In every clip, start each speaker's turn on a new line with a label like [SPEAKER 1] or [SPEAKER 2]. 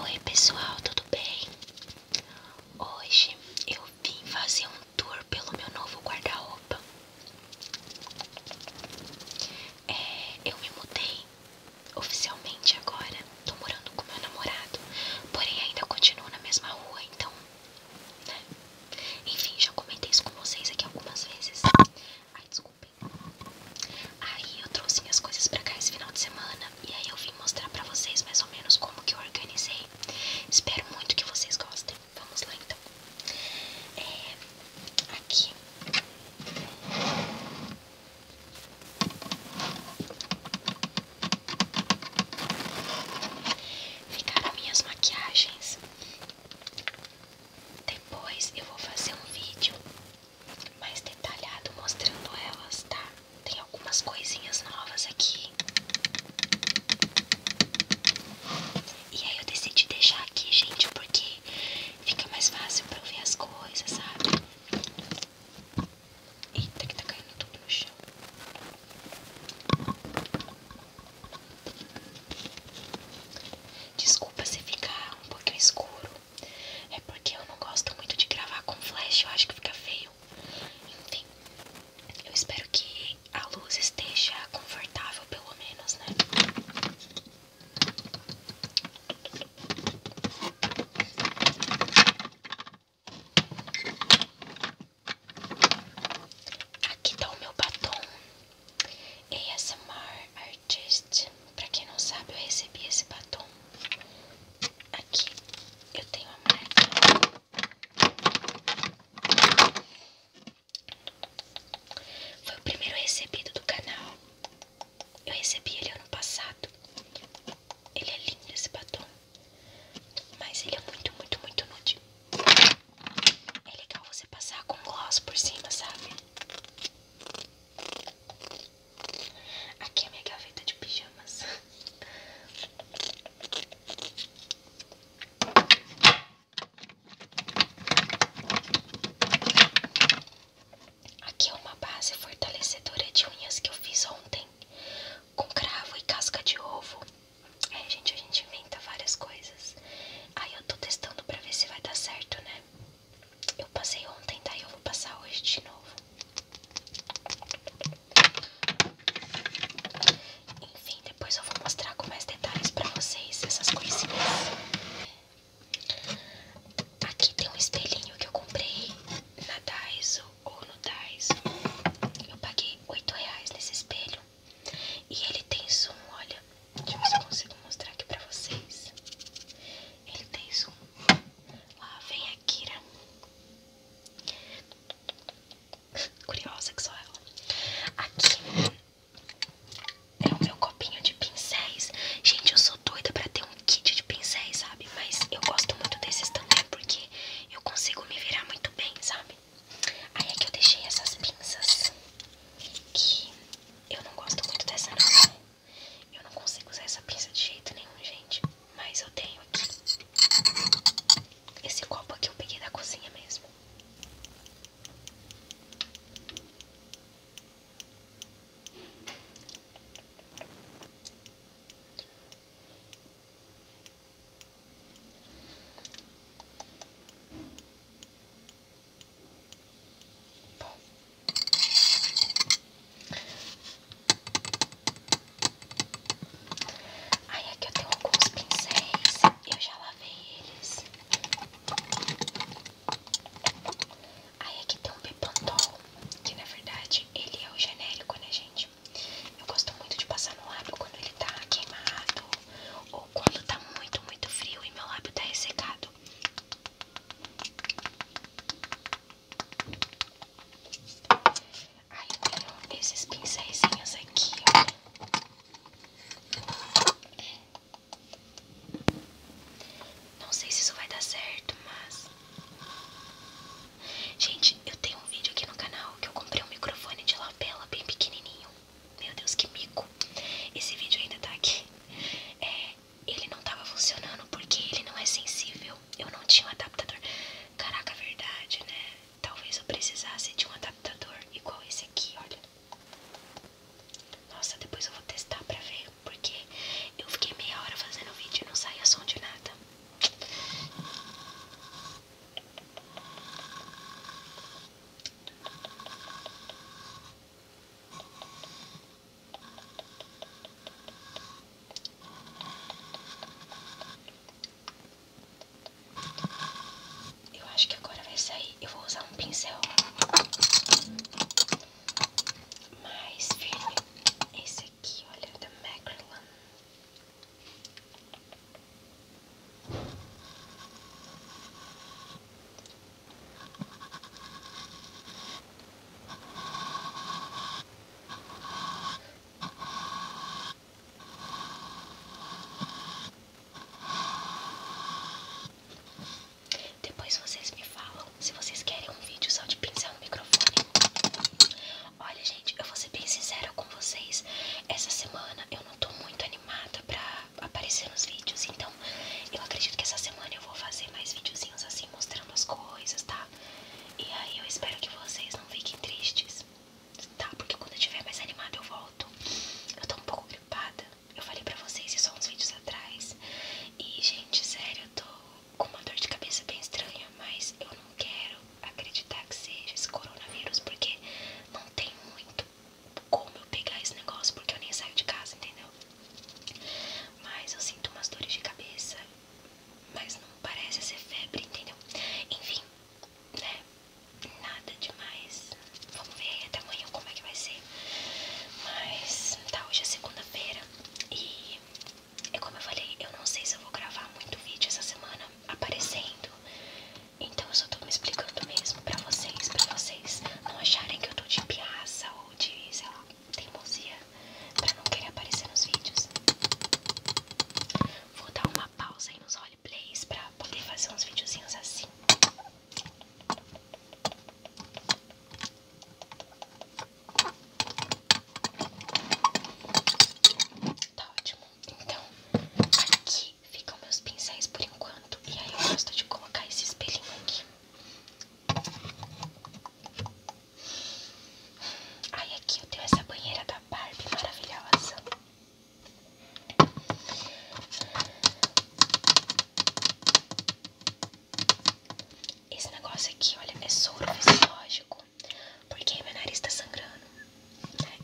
[SPEAKER 1] Oi pessoal, tudo bem? Hoje eu vim fazer um tour pelo meu novo guarda-roupa. É, eu me mudei oficialmente agora, tô morando com meu namorado, porém ainda continuo na mesma rua, então né? Enfim, já comentei isso com vocês aqui algumas vezes. Ai, desculpem. Aí eu trouxe minhas coisas pra cá esse final de semana. E aí eu vim mostrar pra vocês mais ou menos como que eu organizei. Espero muito que vocês gostem. Vamos lá então. É, aqui. Ficaram minhas maquiagens depois eu vou fazer um vídeo mais detalhado mostrando elas, tá? Tem algumas coisinhas novas aqui. E aí eu decidi deixar aqui, gente, porque fica mais fácil pra eu ver as coisas, sabe? Eita, que tá caindo tudo no chão. Desculpa se ficar um pouquinho escuro. É porque eu não gosto muito de gravar com flash, eu acho que fica feio. Enfim, eu espero que a luz esteja confortável, pelo menos, né? Aqui tá o meu batom ASMR Artist. Pra quem não sabe, eu recebi esse batom. Aqui eu tenho a marca. Foi o primeiro recebido do canal. Eu recebi ele ano passado. Ele é lindo esse batom. Mas ele é muito, muito, muito nude. É legal você passar com gloss por cima, sabe? Aqui é minha gaveta de pijamas. Aqui é uma base fortalecedora de unhas que eu fiz ontem com cravo e casca de ovo. É, gente, a gente inventa várias coisas. Aí eu tô testando pra ver se vai dar certo, né? Eu passei ontem, daí eu vou passar hoje de novo. Enfim, depois eu vou mostrar com mais detalhes pra vocês essas coisinhas. Aqui tem um espelhinho que eu comprei na Daiso ou no Daiso. Eu paguei 8 reais nesse espelho. E ele tem zoom, olha. Deixa eu ver se eu consigo mostrar aqui pra vocês. Ele tem zoom. Lá vem a Kira. Curiosa que sou ela. Aqui é o meu copinho de pincéis. Gente, eu sou doida pra ter um kit de pincéis, sabe? Mas eu gosto muito desses também porque eu consigo me virar muito bem, sabe? Aí é que eu deixei essas pinças, que eu não gosto muito dessa não. Né? Eu não consigo usar essa pinça de jeito nenhum, gente. Mas eu tenho aqui. Esse copo aqui eu peguei da cozinha mesmo. Aí aqui é eu tenho alguns pincéis, eu já lavei eles. Aí aqui é tem um Pepantol, que na verdade ele é o genérico, né gente? Eu gosto muito de passar no lábio quando ele tá queimado ou quando tá muito, muito frio e meu lábio tá ressecado. Aí eu tenho esses pincéisinhos aqui, ó. Não sei se isso vai dar certo, mas Gente, eu tenho um vídeo aqui no canal que eu comprei um microfone de lapela bem pequenininho. Meu Deus, que mico. Esse vídeo ainda tá aqui. É, ele não tava funcionando porque ele não é sensível. Eu não tinha um adaptador. Caraca, verdade, né? Talvez eu precisasse de um adaptador igual esse aqui, olha. Nossa, depois eu vou testar pra ver porque eu fiquei meia hora fazendo o vídeo e não saía som de nada. Eu acho que agora vai sair. Eu vou usar um pincel mas, filho, esse aqui, olha, é da Macrylan. Depois vocês me falam se vocês querem um vídeo só de pincel no microfone. Olha, gente, eu vou ser bem sincera com vocês. Essa semana eu não tô muito animada pra aparecer nos vídeos, então eu acredito que essa semana eu vou fazer mais videozinhos assim, mostrando as coisas, tá? E aí eu espero que vocês não fiquem tristes, tá? Porque quando eu estiver mais animada eu volto. Eu tô um pouco gripada, eu falei pra vocês isso há uns vídeos atrás. E, gente, sério, eu tô com uma dor de cabeça bem estranha, mas eu não quero acreditar que seja esse coronavírus, porque não tem muito como eu pegar esse negócio, porque eu nem saio de casa, entendeu? Mas eu sinto umas dores de cabeça, mas não parece ser febre, entendeu? Enfim, né? Nada demais. Vamos ver até amanhã como é que vai ser. Mas tá, hoje é segunda-feira e é como eu falei, eu não sei se eu vou gravar muito vídeo essa semana aparecendo. Então eu só tô me explicando mesmo pra vocês, pra vocês não acharem que eu tô de piaça ou de, sei lá, teimosia pra não querer aparecer nos vídeos. Vou dar uma pausa aí nos roleplays pra poder fazer uns videozinhos assim. Tá ótimo. Então, aqui ficam meus pincéis por enquanto. E aí eu gosto de colocar esse espelhinho aqui. Aí ah, aqui eu tenho essa banheira da Barbie maravilhosa. Esse negócio aqui, olha, é soro fisiológico. Porque meu nariz tá sangrando.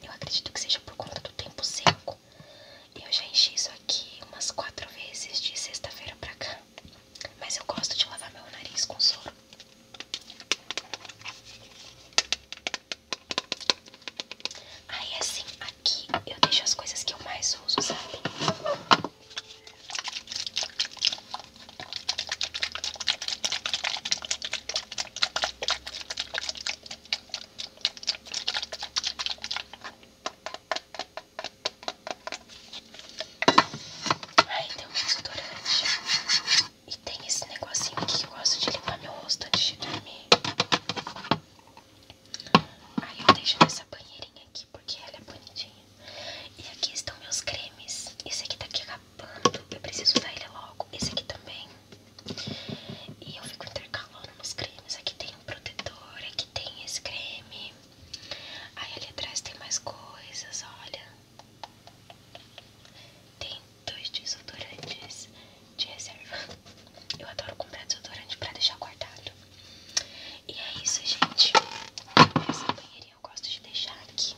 [SPEAKER 1] Eu acredito que seja por conta do tempo seco. Eu já enchi isso aqui umas quatro vezes de sexta-feira pra cá. Mas eu gosto de lavar meu nariz com soro. Aí é assim, que eu deixo as coisas que eu mais uso, sabe? Aí tem um desodorante. E tem esse negocinho aqui que eu gosto de limpar meu rosto antes de dormir. Aí eu deixo nessa banheirinha aqui porque ela é bonitinha. E aqui estão meus cremes. Esse aqui tá aqui acabando. Eu preciso usar ele logo. Esse aqui também. E eu fico intercalando nos cremes. Aqui tem um protetor. Aqui tem esse creme. Aí ali atrás tem mais coisas. Olha. Tem dois desodorantes de reserva. Eu adoro comprar desodorante pra deixar guardado. E é isso, gente. Essa banheirinha eu gosto de deixar aqui.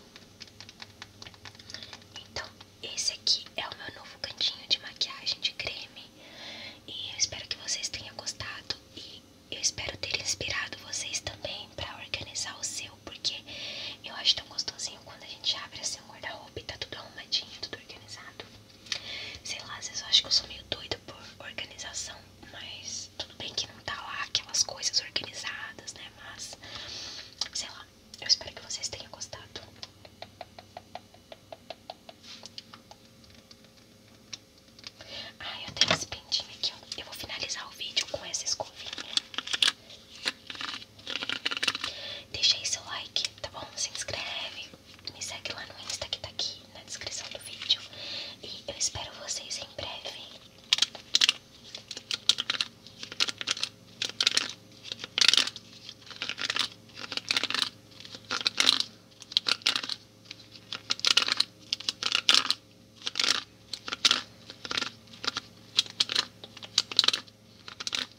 [SPEAKER 1] Então, esse aqui é o meu novo cantinho de maquiagem de creme. E eu espero que vocês tenham gostado. E eu espero ter inspirado vocês também para organizar o seu. Porque eu acho tão gostosinho quando a gente abre assim um guarda-roupa e tá tudo arrumadinho, tudo organizado. Sei lá, às vezes eu acho que eu sou meio doida por organização, mas tudo bem que não tá lá aquelas coisas organizadas, né? Mas, sei lá, eu espero que vocês tenham gostado. Ah, eu tenho esse pendinho aqui, ó. Eu vou finalizar o vídeo com essa escovinha. Deixa aí seu like, tá bom? Se inscreve, me segue lá no Insta que tá aqui na descrição do vídeo. E eu espero vocês em breve.